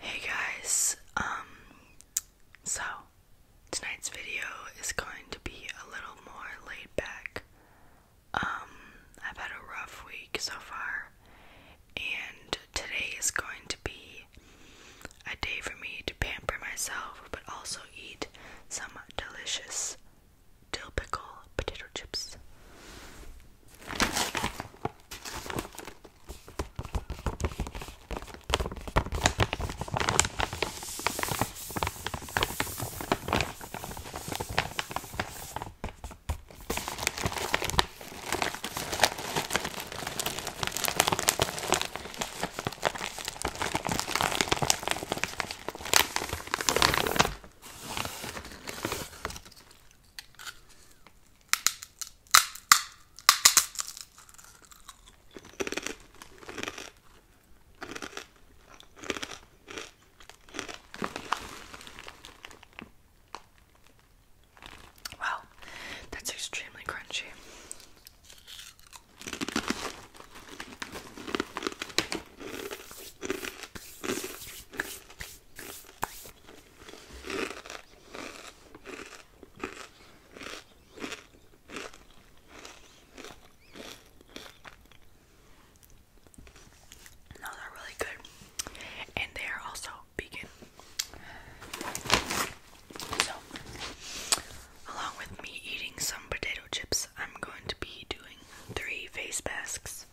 Hey guys, um, so tonight's video is going to be a little more laid back. Um, I've had a rough week so far, and today is going to be a day for me to pamper myself but also eat some delicious dill pickle potato chips. Wow, that's extremely crunchy. Those are really good, and they are also vegan. So, along with me eating some potato chips, I'm going to be doing three face masks.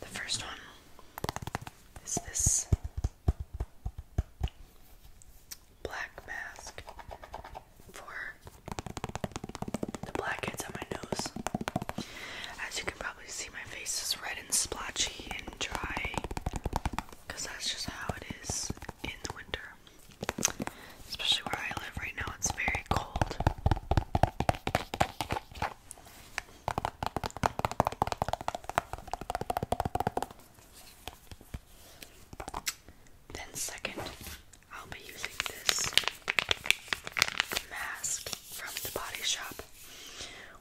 The first one is this black mask for the blackheads on my nose. As you can probably see, my face is red and splotchy and dry because that's just how it is in the winter. Especially where I live right now, it's very cold. Then, second, I'll be using this mask from the Body Shop,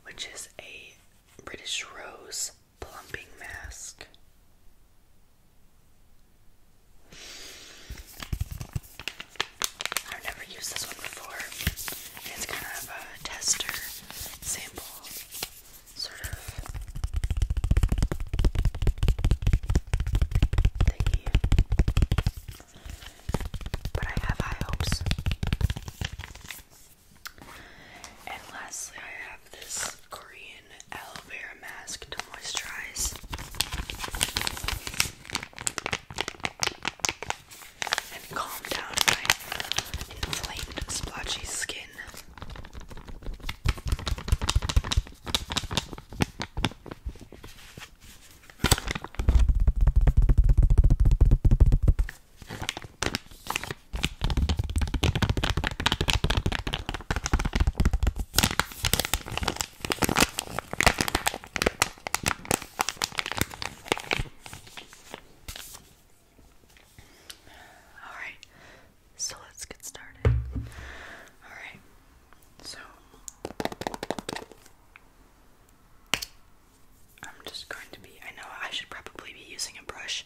which is a British Rose plumping mask. I've never used this one before. It's kind of a tester sample, sort of But I have high hopes. And lastly, I have this Korean aloe vera mask to moisturize and calm down my inflamed, splotchy skin. All right. So let's get started. All right. So I'm just going to be I know I should probably be using a brush,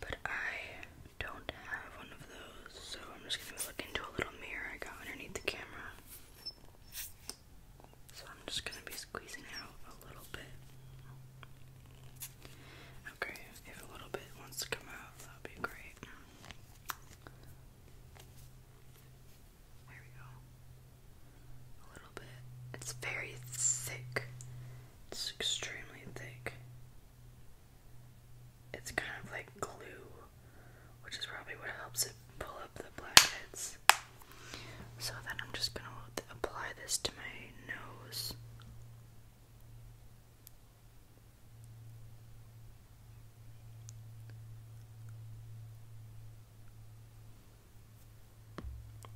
but I don't have one of so I'm just gonna look into a little mirror I got underneath the camera. So I'm just gonna be squeezing out a little bit. Okay, if a little bit wants to come out, that'll be great. There we go. A little bit. It's very thick. It's extremely thick it's kind of like glue, which is probably what helps it pull up the blankets. So then I'm just gonna apply this to my nose.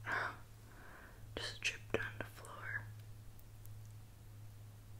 just dripped on the floor.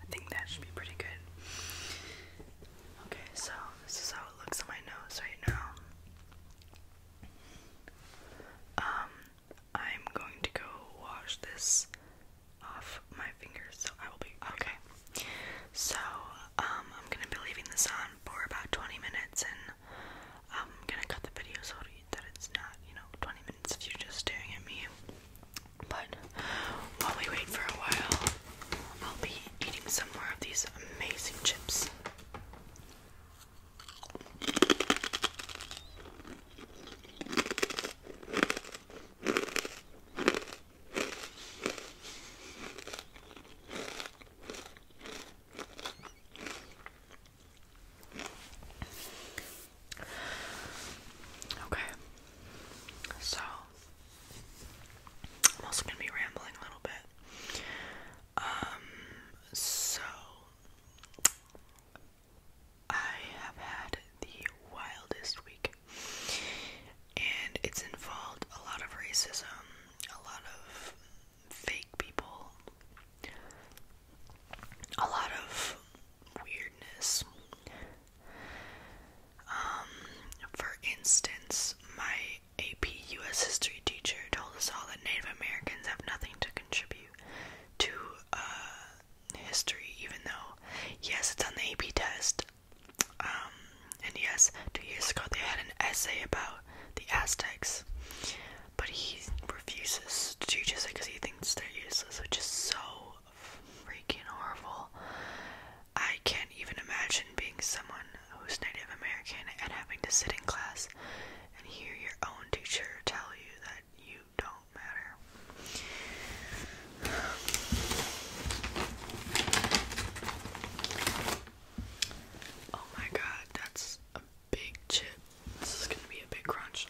I think that should be pretty good. Okay, so this is how it looks on my nose right now. Um, I'm going to go wash this off my fingers, so I will be okay. So, um, I'm gonna be leaving this on for about 20 minutes, and I'm gonna cut the video so that it's not, you know, 20 minutes of you just staring at me. But while we wait for a while, I'll be eating some more of these amazing chips. Okay. So I'm also gonna be rambling a little bit. Um, so I have had the wildest week and it's involved a lot of racism, a lot of fake people, a lot of weirdness. Um, for instance, my AP US history teacher told us all that Native Americans have nothing to contribute to uh, history, even though, yes, it's on the AP test. Um, and yes, two years ago they had an essay about the Aztecs, but he refuses to teach us it because he thinks they're useless, which is so freaking horrible. I can't even imagine being someone who's Native American and having to sit in class and hear your own teacher tell you that you don't matter. Oh my god, that's a big chip. This is gonna be a big crunch.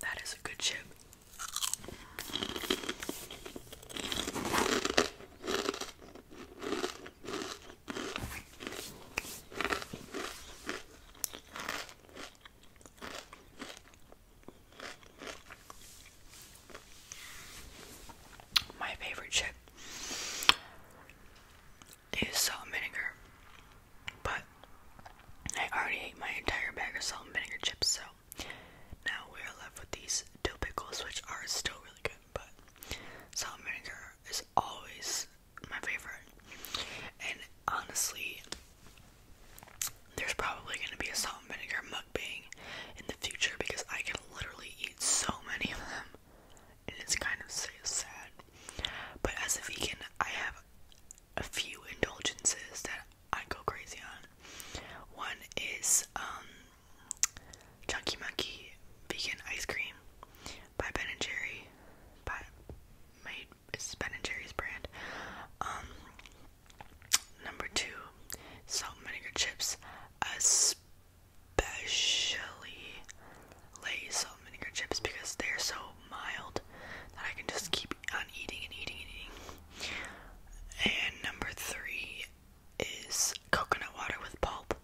That is a good chip. My favorite chip is salt vinegar, but I already ate my entire bag of salt and vinegar chips, so now we are left with these dill pickles, which are still really good, but salt and vinegar is always my favorite. And honestly, there's probably gonna be a salt and vinegar being in the future because I can literally eat so many of them, and it's kind of sad. But as a vegan, I have a few indulgences that I go crazy on. One is um Chunky Monkey Vegan Ice Cream by Ben and Jerry. By made it's Ben and Jerry's brand. Um, number two, salt and vinegar chips, especially Lay's salt and vinegar chips because they're so mild that I can just keep on eating and eating and eating. And number three is coconut water with pulp.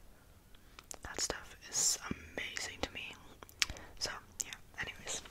That stuff is amazing to me. So, yeah, anyways.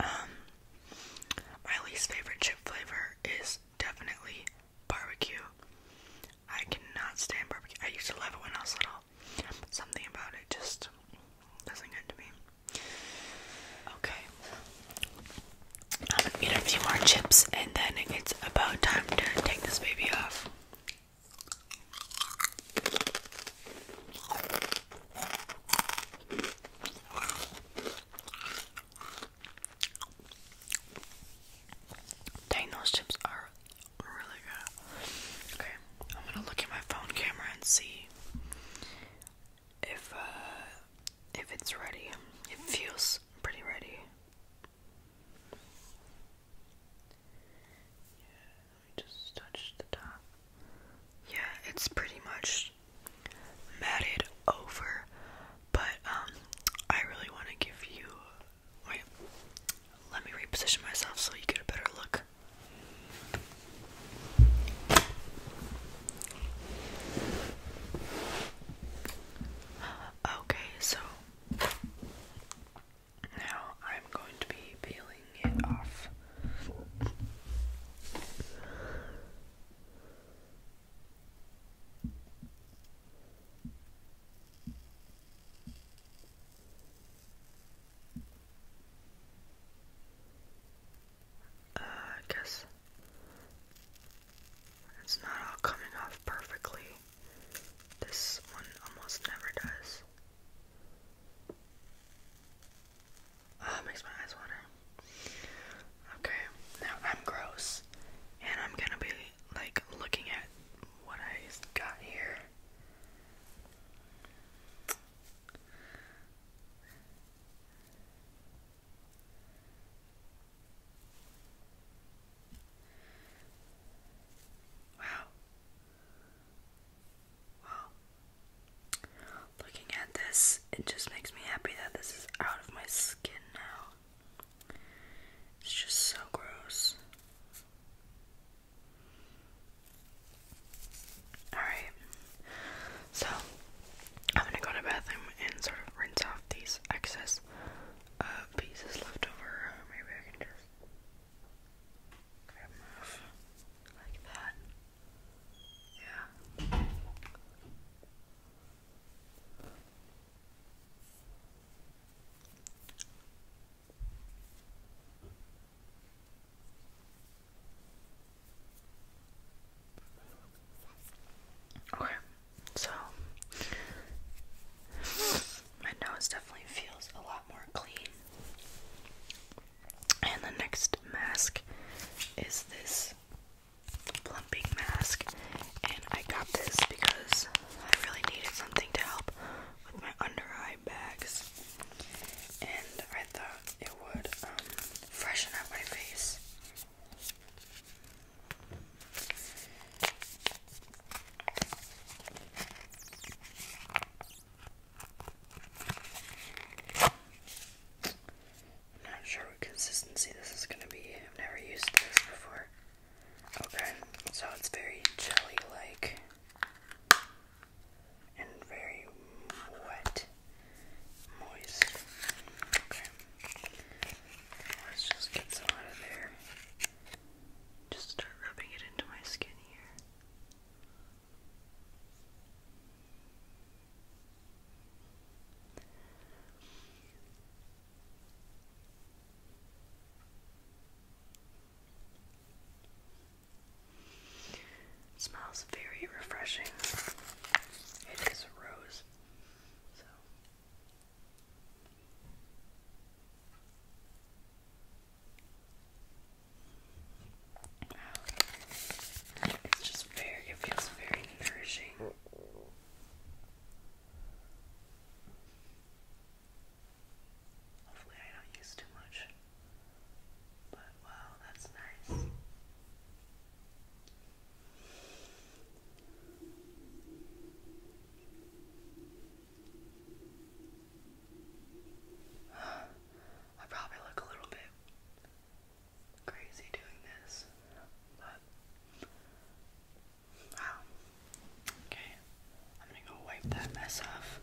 Um, my least favorite chip flavor is definitely barbecue. I cannot stand barbecue. I used to love it when I was little. Something about it just doesn't get to me. Okay. I'm gonna get a few more chips and then it's about time to take this baby off. Dang, those chips are really good. Okay, I'm gonna look at my phone camera and see if uh, if it's ready. It feels pretty ready. Yeah, let just touch the top. Yeah, it's pretty much matted over, but um, I really want to give you. Wait, let me reposition myself so you get a better look here. Okay, so now I'm going to be peeling it off. Uh, I guess it's not all coming off perfectly. This one almost never does. Ah, makes my eyes water. Okay, now I'm gross, and I'm gonna be like looking at what I got here. Wow. Wow. Looking at this, it just makes me happy that this is out of my skin now. It's just so gross. Alright, so I'm gonna go to bathroom and sort of rinse off these excess uh, pieces left over. Maybe I can just grab them off like that. Yeah. Okay, so my nose definitely feels a lot more clean. And the next mask is this plumping mask. And I got this because I really needed something to help with my under eye bags, and I thought it would um, freshen up my face. not sure what consistency this is gonna be. I've never used this before. Okay, so it's very jelly like and very wet, moist. Okay. Let's just get some out of there. Just start rubbing it into my skin here smells very refreshing. It is rose. So it's just very it feels very nourishing. Hopefully I don't use too much. But wow, that's nice. I probably look a little bit crazy doing this, but wow. Okay, I'm gonna go wipe that mess off.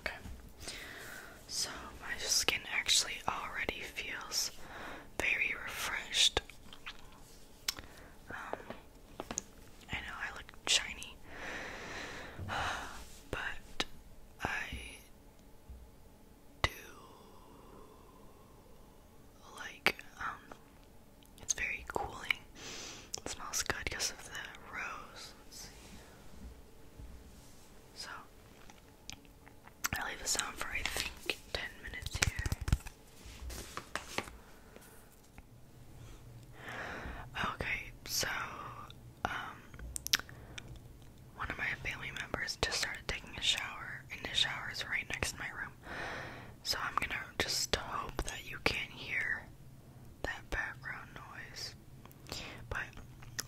Okay. So my skin actually already feels very refreshed. Um, I know I look shiny, but I do like um, it's very cooling. smells good because of the rose. So I leave this on for I think ten minutes here. Okay, so um one of my family members just started taking a shower and the shower is right next to my room. So I'm gonna just hope that you can't hear that background noise. But,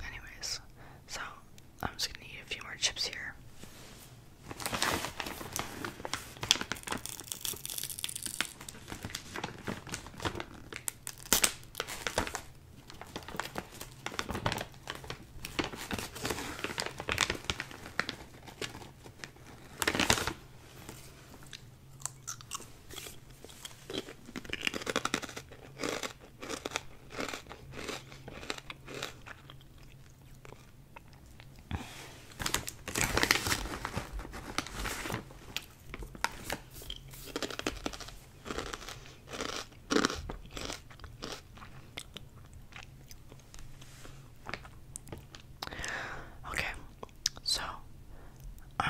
anyways, so I'm just gonna eat a few more chips here. Okay, so, um,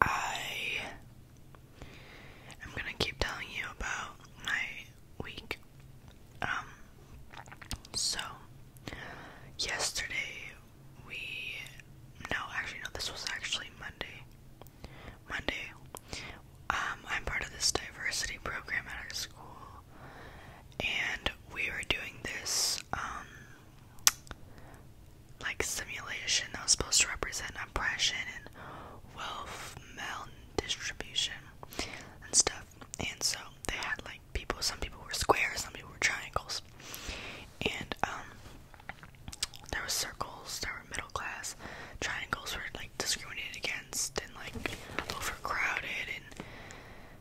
I am gonna keep telling you about my week. Um, so yesterday we no, actually, no, this was actually Monday. Monday, um, I'm part of this diversity program at our school, and we were doing this, um, like simulation that was supposed to represent oppression and wealth maldistribution and stuff. And so they had like people, some people were squares, some people were triangles. And um there were circles, there were middle class, triangles were like discriminated against and like overcrowded and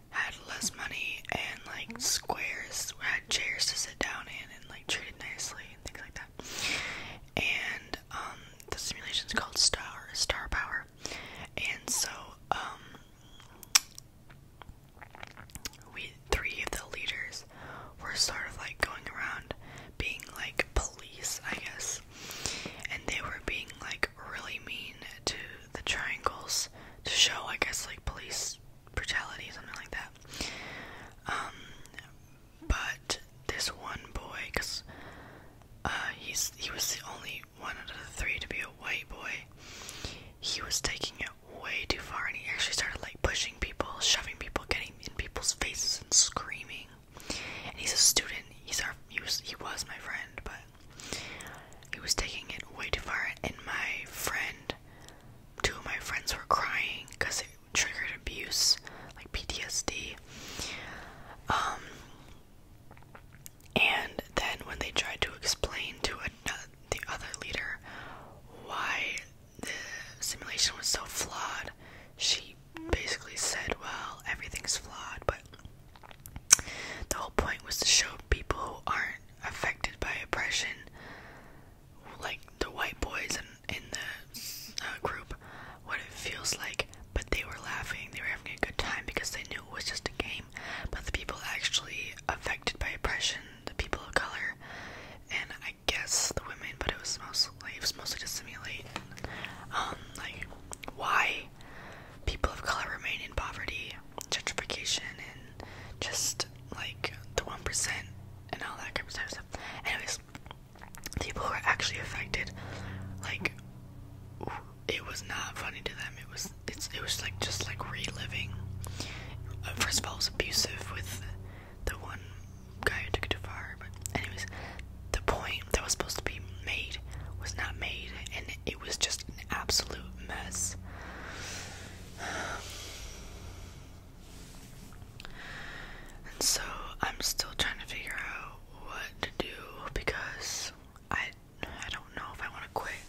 had less money and like squares had chairs to sit down and like treated nicely and things like that. And um, the simulation is called Star Star Power, and so um, we three of the leaders were sort of like going around being like police, I guess, and they were being like really mean to the triangles to show, I guess, like police brutality, something like that. Um, but this one boy, because uh, he's he was the only one out of the three to be a white boy. He was taking it way too far, and he actually started like pushing people, shoving people, getting in people's faces, and screaming. And he's a student. He's our he was my friend, but he was taking it way too far. And my friend two of my friends were crying because it triggered abuse, like PTSD. Um, and then when they tried to explain to uh, the other leader why the simulation was so flawed, she basically said, Well, everything's flawed, but the whole point was to show people who aren't affected by oppression like the white boys in, in the uh, group what it feels like, but they were laughing, they were having a good time because they knew it was just a game. But the people actually affected by oppression, the people of color, and I guess the women, but it was mostly it was mostly to simulate um like why people of color remain in poverty, gentrification, and just like the 1% and all that kind of stuff. Anyways, the people who were actually affected, like, it was not funny to them. It was, it's, it was like just like reliving. Uh, first of all, it was abusive with the one guy who took it too far. But anyways, the point that was supposed to be made was not made, and it was just an absolute mess. And so I'm still trying to figure out what to do because I I don't know if I want to quit.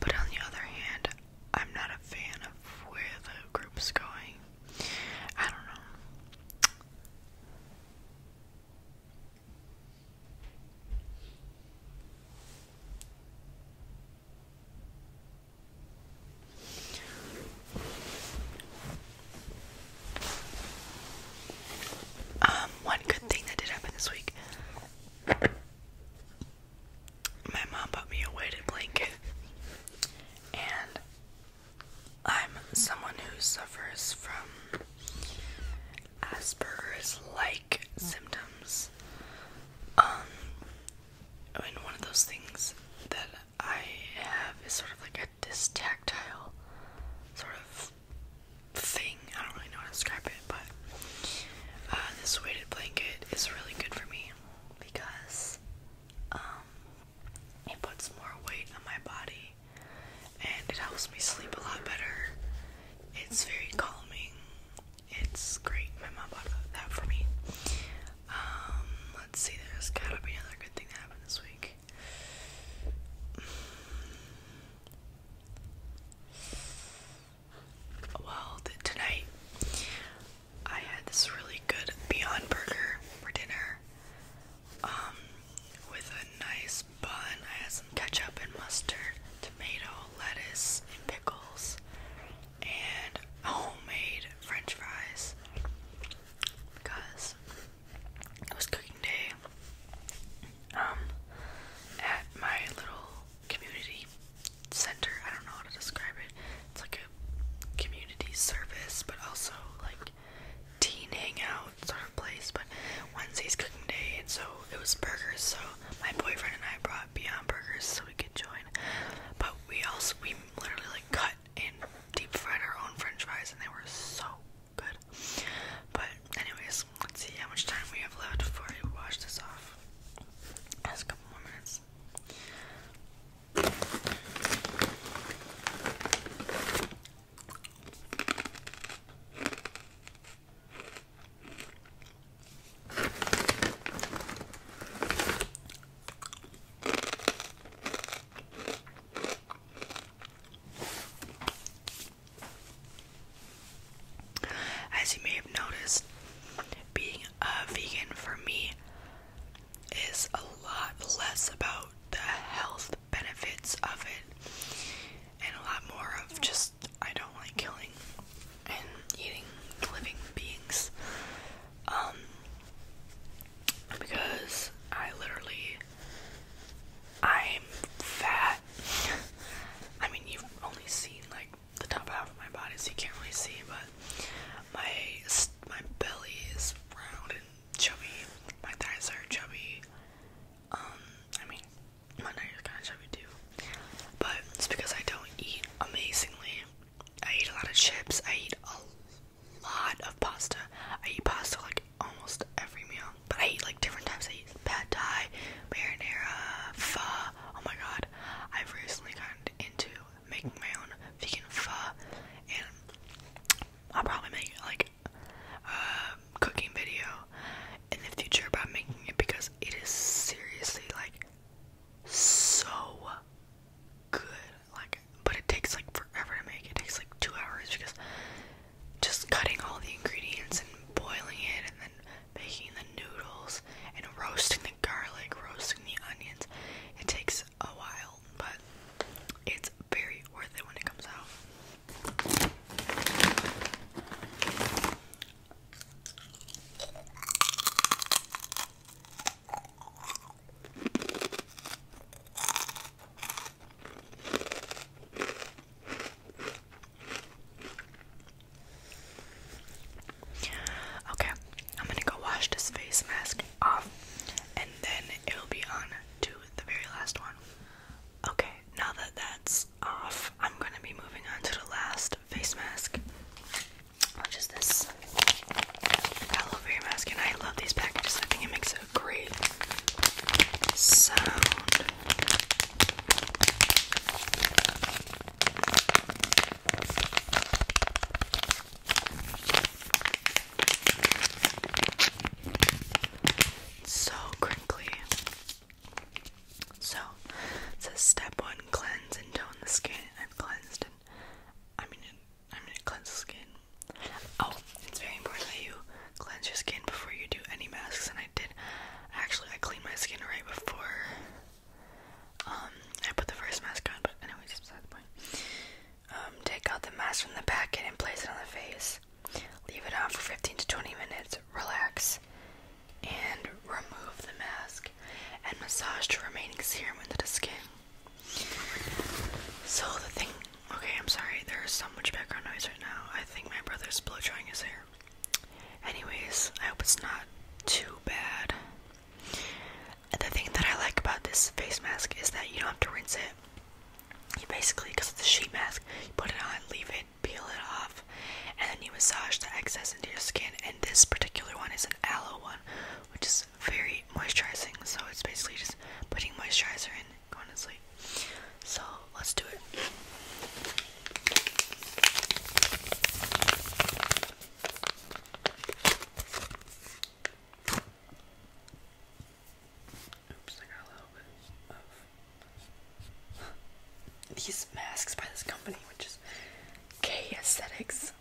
But on the other hand, I'm not a fan of where the group's going. I don't know. Um, one good thing that did happen this week. My mom bought me a weighted blanket, and I'm someone who suffers from Asperger's like symptoms. Um, and one of those things that I have is sort of like a dystactile sort of thing. I don't really know how to describe it, but uh, this weighted blanket is really good for me because um, it puts more weight on my body and it helps me sleep a lot better. It's very calming. It's great. My mom bought that for me. Um, let's see. There's gotta be another good thing that happened this week. Well, tonight I had this really good Beyond Burger for dinner. Um, with a nice bun. I had some ketchup and mustard tomato, lettuce, and pickles, and homemade french fries because it was cooking day um, at my little community center. I don't know how to describe it. It's like a community service, but also like teen hangout sort of place. But Wednesday's cooking day, and so it was burgers. So my boyfriend and I brought Beyond Burgers so we could join. But we also we literally like cut and deep fried our own French fries, and they were so good. But anyways, let's see how much time we have left before we wash this off. That's a couple minutes. As you may have noticed, being a vegan for me is a lot less about the health benefits of it and a lot more of just I don't like killing and eating living beings. Um because I literally I'm fat. I mean you've only seen like the top half of my body so you can't really see but my my belly is round and chubby. My thighs are chubby. Um I mean my night is kind of chubby too, but it's because I don't eat amazingly. I eat a lot of chips. I eat a lot of pasta. I eat pasta like almost every meal, but I eat like different types. I eat pad thai, marinara, pho. Oh my god, I've recently gotten into making my own vegan fa, and I'll probably make like a cooking video in the future about making it because it is seriously like so good. Like, but it takes like forever to make. It takes like two hours because just cutting all the ingredients and boiling it and then making the noodles and roasting the garlic, roasting the onions. It takes a while, but it's very worth it when it comes out. Okay, I'm gonna go wash this face mask off and then it'll be on to the very last one. Okay, now that that's off, I'm gonna be moving on to the last face mask, which is this aloe mask. And I love these packages, I think it makes a great sound. so crinkly. So says step one cleanse and tone the skin. I've cleansed and I'm I'm gonna cleanse the skin. Oh, it's very important that you cleanse your skin before you do any masks and I did actually I cleaned my skin right before um, I put the first mask on, but anyways it's beside the point. Um, take out the mask from the packet and place it on the face. Leave it on for 15 to 20 minutes. Relax and remove the mask and massage the remaining serum into the skin. So the thing, okay, I'm sorry, there's so much background noise right now. I think my brother's blow drying his hair. Anyways, I hope it's not too bad. And the thing that I like about this face mask is that you don't have to rinse it. You basically, because it's a sheet mask, you put it on, leave it, peel it off and then you massage the excess into your skin. And this particular one is an aloe one, which is very moisturizing. So it's basically just putting moisturizer in, going to sleep. So let's do it. Oops, I got a little bit of these masks by this company, which is K Aesthetics.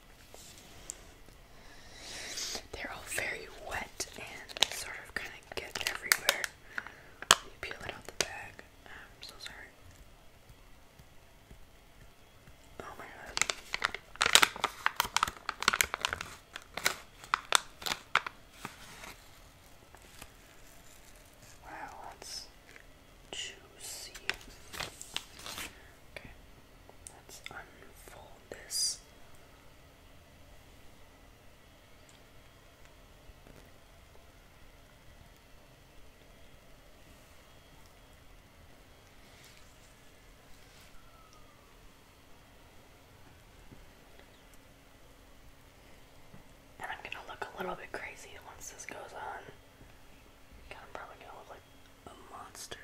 They're all very wet and sort of kind of get everywhere. You peel it out the bag. Ah, I'm so sorry. Oh my god. Wow, that's juicy. Okay, let's unfold this. And I'm gonna look a little bit crazy once this goes on. God, I'm probably gonna look like a monster.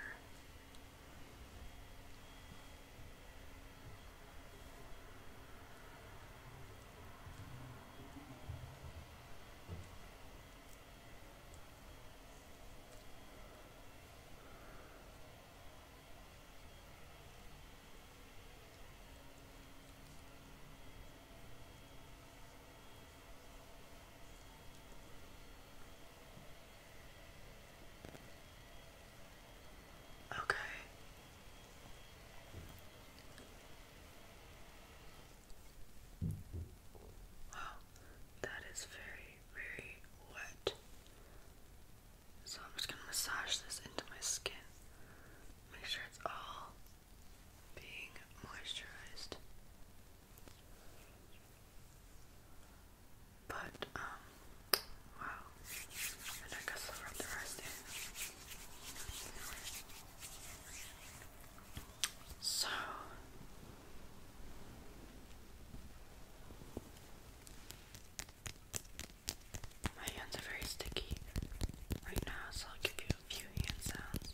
Okay. Wow, that is very, very wet. So I'm just going to massage this into my skin. Make sure it's all being moisturized. But, um, wow. And I guess i the rest in. So, my hands are very sticky right now, so I'll give you a few hand sounds.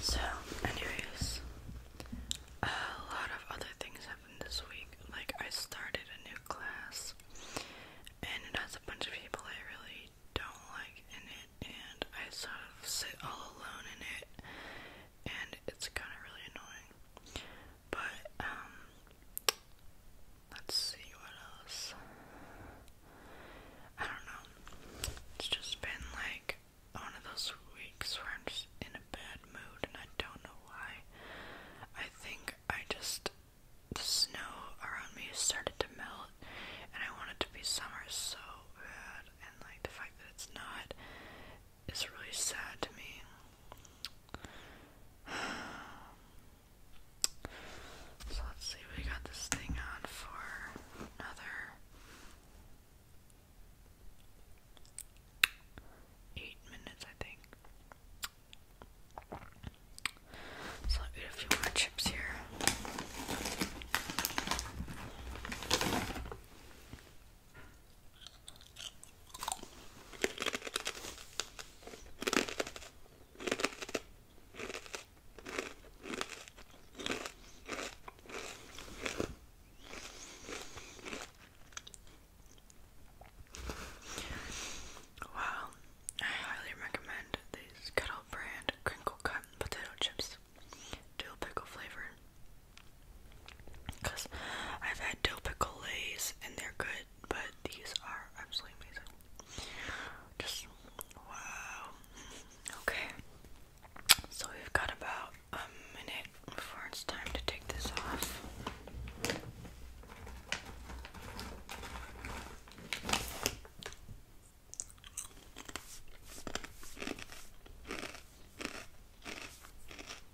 So, anyways, a lot of other things happened this week. Like, I started a new class, and it has a bunch of people I really don't like in it, and I sort of sit all alone in it, and it's kind of really annoying. But um let's see what else. I don't know. It's just been like one of those weeks where I'm just in a bad mood and I don't know why. I think I just the snow around me started to melt and I wanted to be summer so bad and like the fact that it's not is really sad to me. So let's see, we got this thing on for another eight minutes, I think. So I'll get a few more chips here. Wow, I highly recommend these Kettle Brand Crinkle Cut Potato Chips, dill pickle flavored. Because I've had dill pickle lays and they're good, but these are absolutely amazing. Just wow. Okay. So we've got about a minute before it's time to take this off.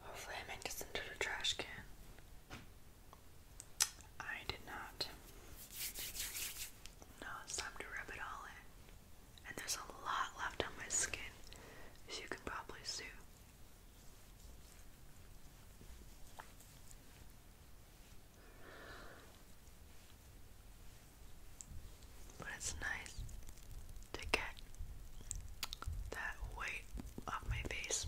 Hopefully, I made this into the trash can. I did not. Now it's time to rub it all in. And there's a lot left on my skin, as you can probably see. But it's nice to get that weight off my face.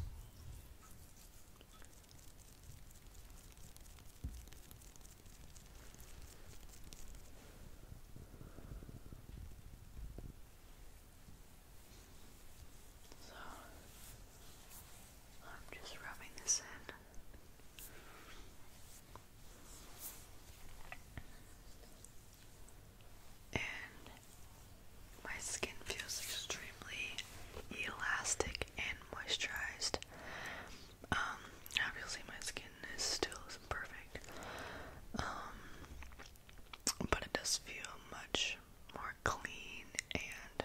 So I'm just rubbing this in and my skin feels extremely elastic and moisturized. Um, obviously my skin is still isn't perfect. Um, but it does feel much more clean and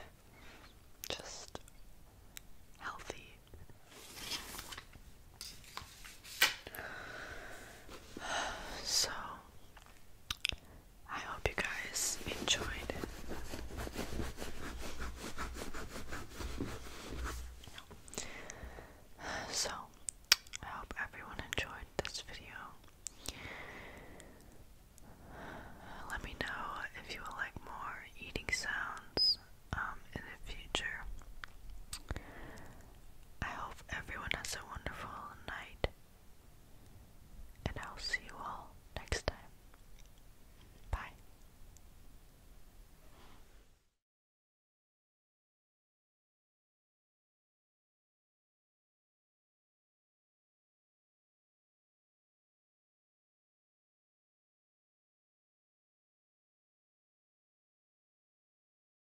just healthy. So I hope you guys enjoyed it. So, I hope everyone enjoyed this video. Let me know if you would like more eating sounds um, in the future. I hope everyone has a wonderful night, and I'll see you all next time. Bye.